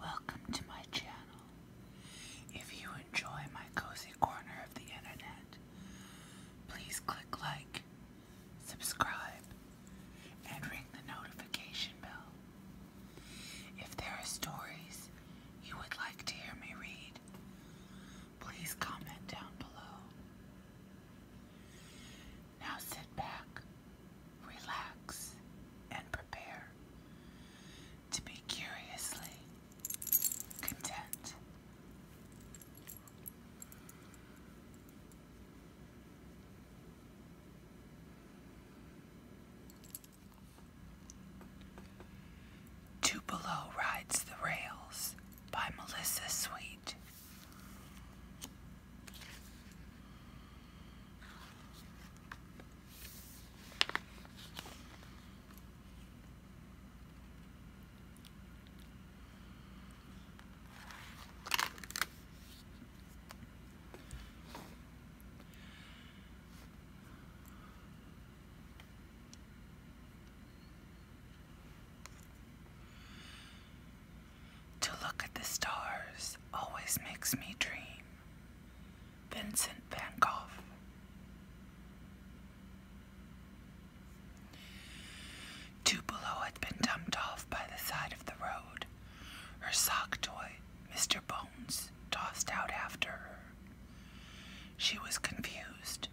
Welcome to my channel. If you enjoy my cozy corner of the internet, please click like, subscribe, and ring the notification bell. If there are stories you would like to hear me read, please comment down below. Now sit back, relax, and prepare to be curiously content. Tupelo Rides the Rails by Melissa Sweet. To look at the stars always makes me dream. Vincent van Gogh. Tupelo had been dumped off by the side of the road her sock toy, Mr. Bones, tossed out after her. She was confused.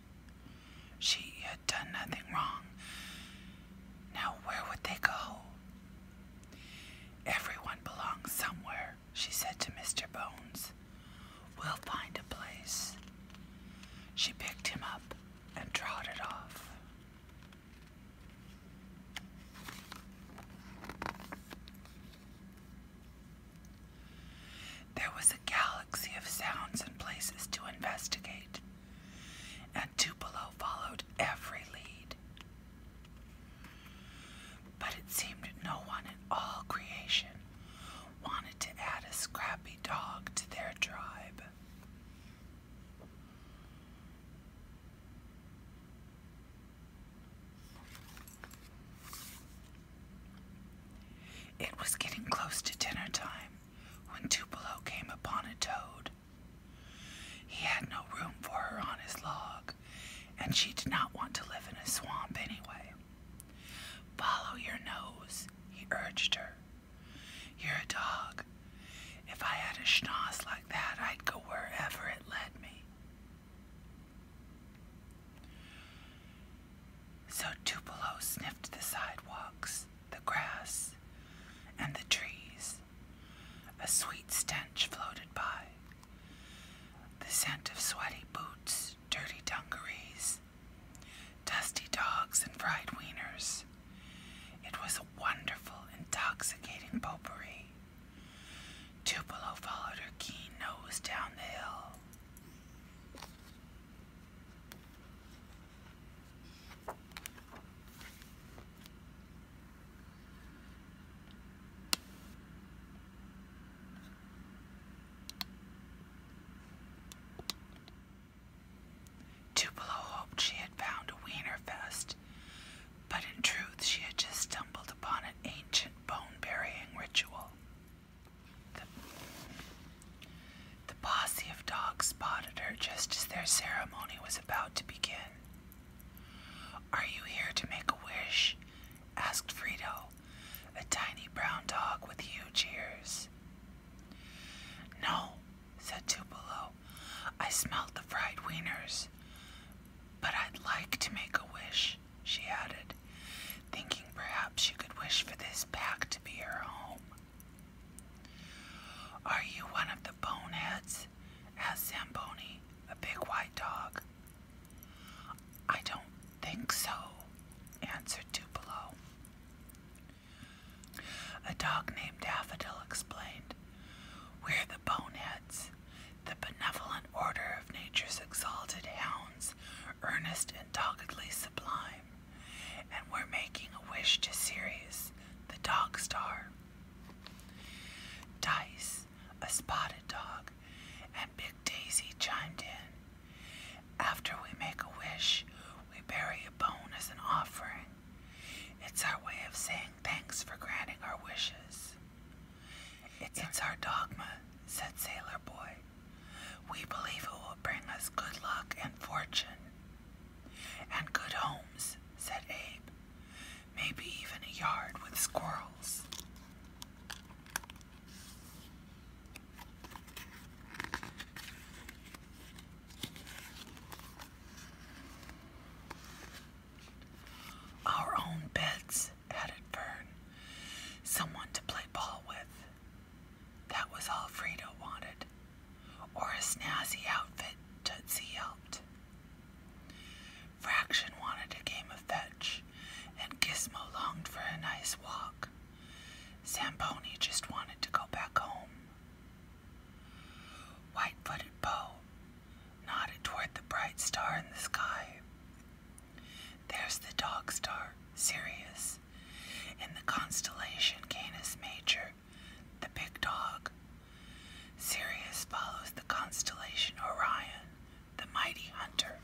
She had done nothing wrong. Now, where would they go? Everyone belongs somewhere, she said to Mr. Bones. We'll find a place. She picked him up and trotted off. There was a galaxy of sounds and places to investigate, and Tupelo followed every lead. But it seemed no one in all creation wanted to add a scrappy dog to their tribe. It was getting close to dinner time when Tupelo came upon a toad. He had no room for her on his log, and she did not want to live in a swamp anyway. Follow your nose, he urged her. You're a dog, if I had a schnoz like that, I'd go wherever it led me. So Tupelo sniffed the sidewalks, the grass, and the trees. A sweet stench floated by. The scent of sweaty boots, dirty dungarees, dusty dogs, and fried wieners. It was a wonderful, intoxicating popery. Tupelo followed her keen nose down the hill. Tupelo hoped she had found a wiener fest, but in truth she had just stumbled upon an ancient bone-burying ritual. The, the posse of dogs spotted her just as their ceremony was about to begin. Are you here to make a wish? asked Frito, a tiny brown dog with huge ears. No, said Tupelo. I smelled the fried wieners. But I'd like to make a wish, she added, thinking perhaps she could wish for this pack to be her home. Are you one of the boneheads? asked Zamboni, a big white dog. I don't think so, answered Tupelo. A dog named Daffodil explained, We're the boneheads, the benevolent order of nature's exalted hounds, earnest and doggedly sublime, and we're making a wish to Sirius, the dog star. Dice, a spotted dog, and Big Daisy chimed in. After we make a wish, we bury a bone as an offering. It's our way of saying thanks for granting our wishes. It's, it's our dogma, said Sailor Boy. We believe it will bring us good luck and fortune. And good homes, said Abe. Maybe even a yard with squirrels. Our own beds, added Fern. Someone to play ball with. That was all Frida wanted. Or a snazzy outfit, Tootsie yelped. Fraction wanted a game of fetch, and Gizmo longed for a nice walk. Zamboni just wanted to go back home. White footed Poe nodded toward the bright star in the sky. There's the dog star, Sirius, in the constellation Canis Major, the big dog. Sirius follows the constellation Orion, the mighty hunter.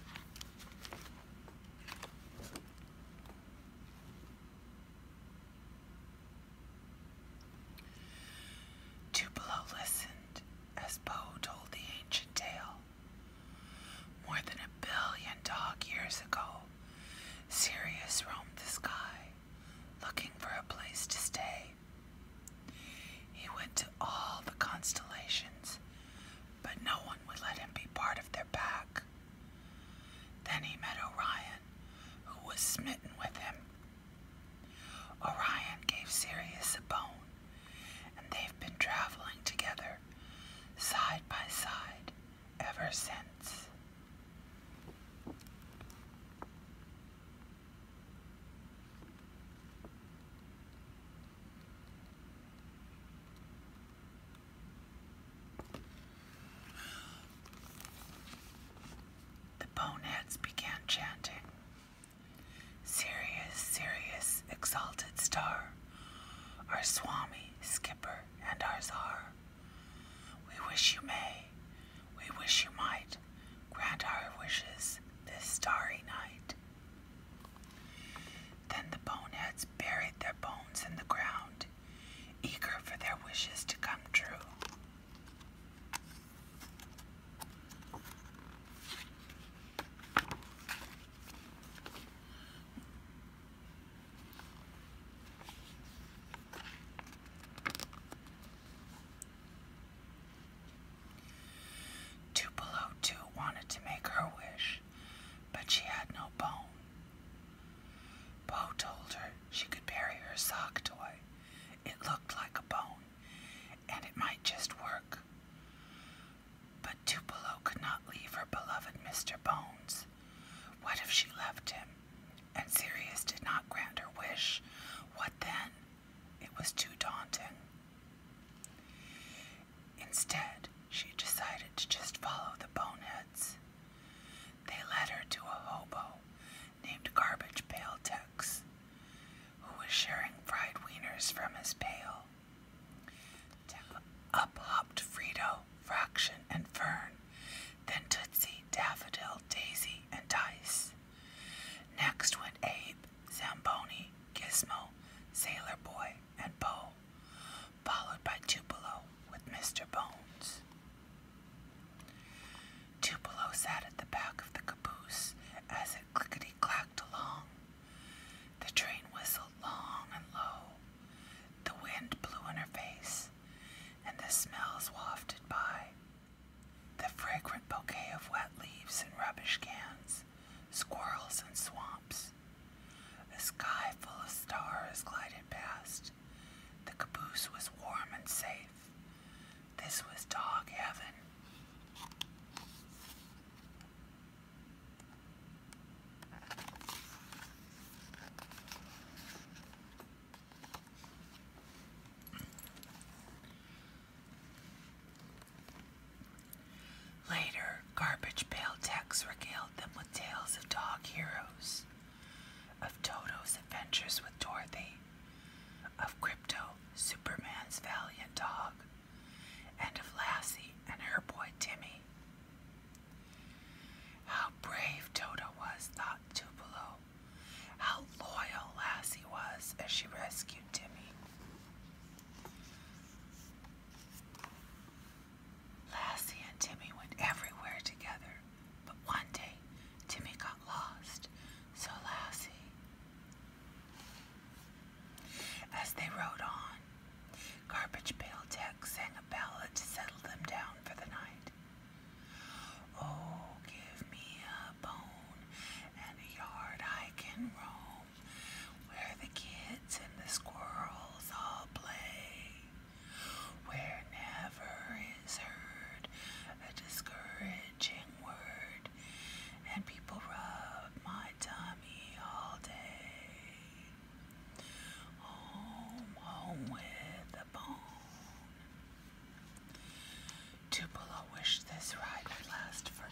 Tupelo listened as Poe told the ancient tale. More than a billion dog years ago, Sirius roamed the sky, looking for a place to stay. He went to all the constellations, but no one would let him be part of their pack. Then he met Orion who was smitten with him. Orion gave Sirius a bone, and they've been traveling together, side by side, ever since. The boneheads began chanting, Sirius, Sirius, exalted star, our Swami, skipper, and our czar. We wish you may, we wish you might, grant our wishes this starry night. Then the boneheads buried their bones in the ground eager for their wishes to come true. Tupelo, too, wanted to make her wish, but she had no bone. Poe told her she could bury her sock toy. It looked like a bone, and it might just work. But Tupelo could not leave her beloved Mr. Bones. What if she left him, and Sirius did not grant her wish? What then? It was too daunting. Instead, she decided to just follow the boneheads. They led her to a hobo named Garbage Pail Tex, who was sharing fried wieners from his pail. Up hopped Frito, Fraction, and Fern, then Tootsie, Daffodil, Daisy, and Dice. Next went Abe, Zamboni, Gizmo, Sailor Boy, and Bo, followed by Tupelo with Mr. Bones. Tupelo sat at the back of the caboose as it clickety clacked along. The train whistled long and low. The wind blew in her face, and the smells wafted by. The fragrant bouquet of wet leaves and rubbish cans, squirrels and swamps. A sky full of stars glided past, the caboose was warm and safe. This was dog heaven. Later, garbage pail techs regaled them with tales of dog heroes of Toto's adventures with Dorothy, of Crypto, Superman's valiant dog, and of Lassie and her boy Timmy. How brave Toto was, thought Tupelo. How loyal Lassie was as she rescued Timmy. Lassie and Timmy went everywhere together, but one day Timmy got lost, so Lassie. As they rode on, Garbage Pail Tech sang a ballad to settle them down for the night. Oh, give me a bone and a yard I can roam, where the kids and the squirrels all play. Where never is heard a discouraging word, and people rub my tummy all day. Home, home with a bone. Tupelo wish this ride would last forever.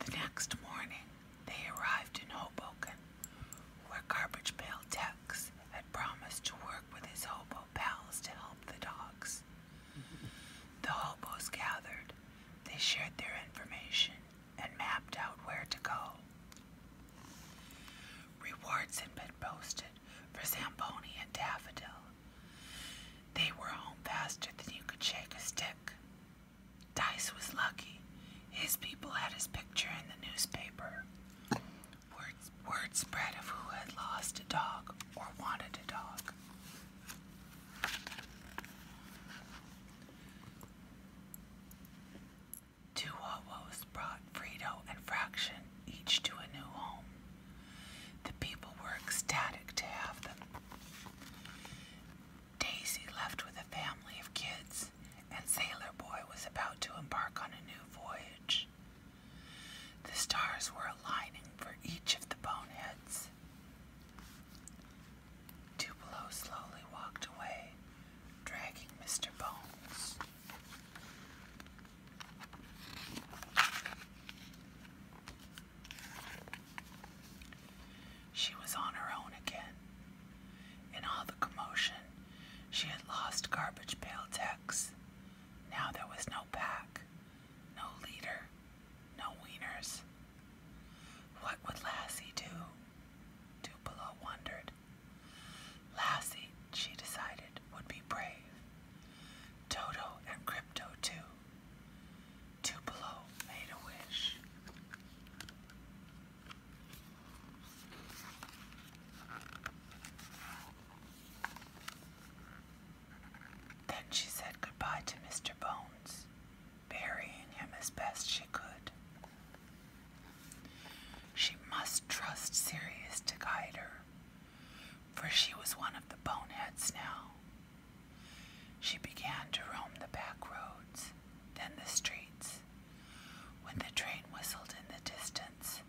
The next morning, they arrived in Hoboken, where Garbage Pail Tex had promised to work with his hobo pals to help the dogs. The hobos gathered, they shared their information, and mapped out where to go. Rewards had been posted for Zamboni and Daffodil, they were home faster than you could shake a stick. Dice was lucky. His people had his picture in the newspaper. Word, word spread of who had lost a dog or wanted a dog. Two Wawas brought Frito and Fraction each to a new home. The people were ecstatic to have them. Daisy left with a family of kids, and Sailor Boy was about to embark on a new voyage. The stars were aligning for each of the boneheads. Tupelo slowly walked away, dragging Mr. Bones. She was on her own again. In all the commotion, she had lost garbage pail Tex. Now there was no pack, no leader, no wieners. What would Lassie do? Tupelo wondered. Lassie, she decided, would be brave. Toto and Crypto, too. Tupelo made a wish. Then she said goodbye to Mr. Bones, burying him as best she could. She must trust Sirius to guide her, for she was one of the boneheads now, she began to roam the back roads, then the streets. When the train whistled in the distance,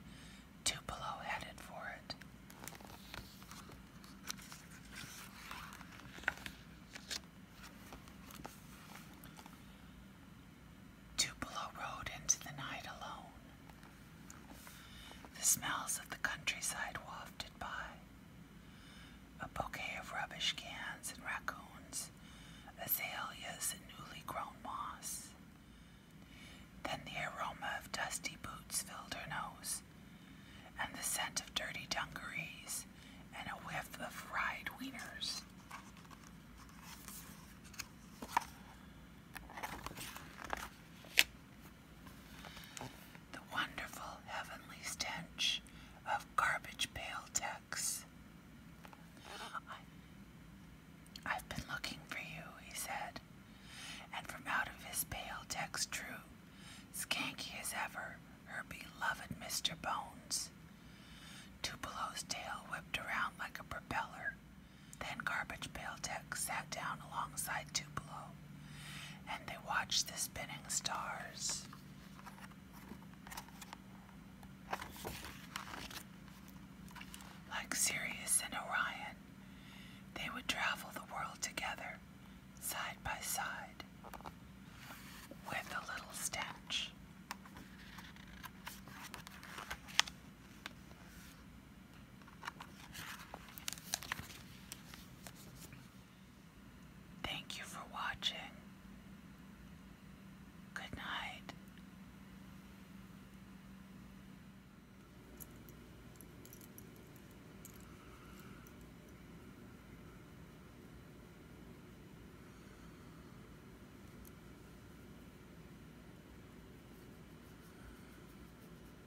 Tupelo headed for it. Tupelo rode into the night alone. The smells of the countryside wafted by. A bouquet of rubbish cans and raccoons, azaleas and newly grown moss. Then the aroma of dusty boots filled her nose, and the scent of dirty dungarees and a whiff of fried wieners. The wonderful heavenly stench of garbage pail Tex. I've been looking for you, he said, and from out of his pale Tex drew, skanky as ever, her beloved Mr. Bones. Tupelo's tail whipped around like a propeller. Then Garbage Pail sat down alongside Tupelo, and they watched the spinning stars. Like Sirius and Orion, they would travel the world together, side by side, with a little stench. Thank you for watching. Good night.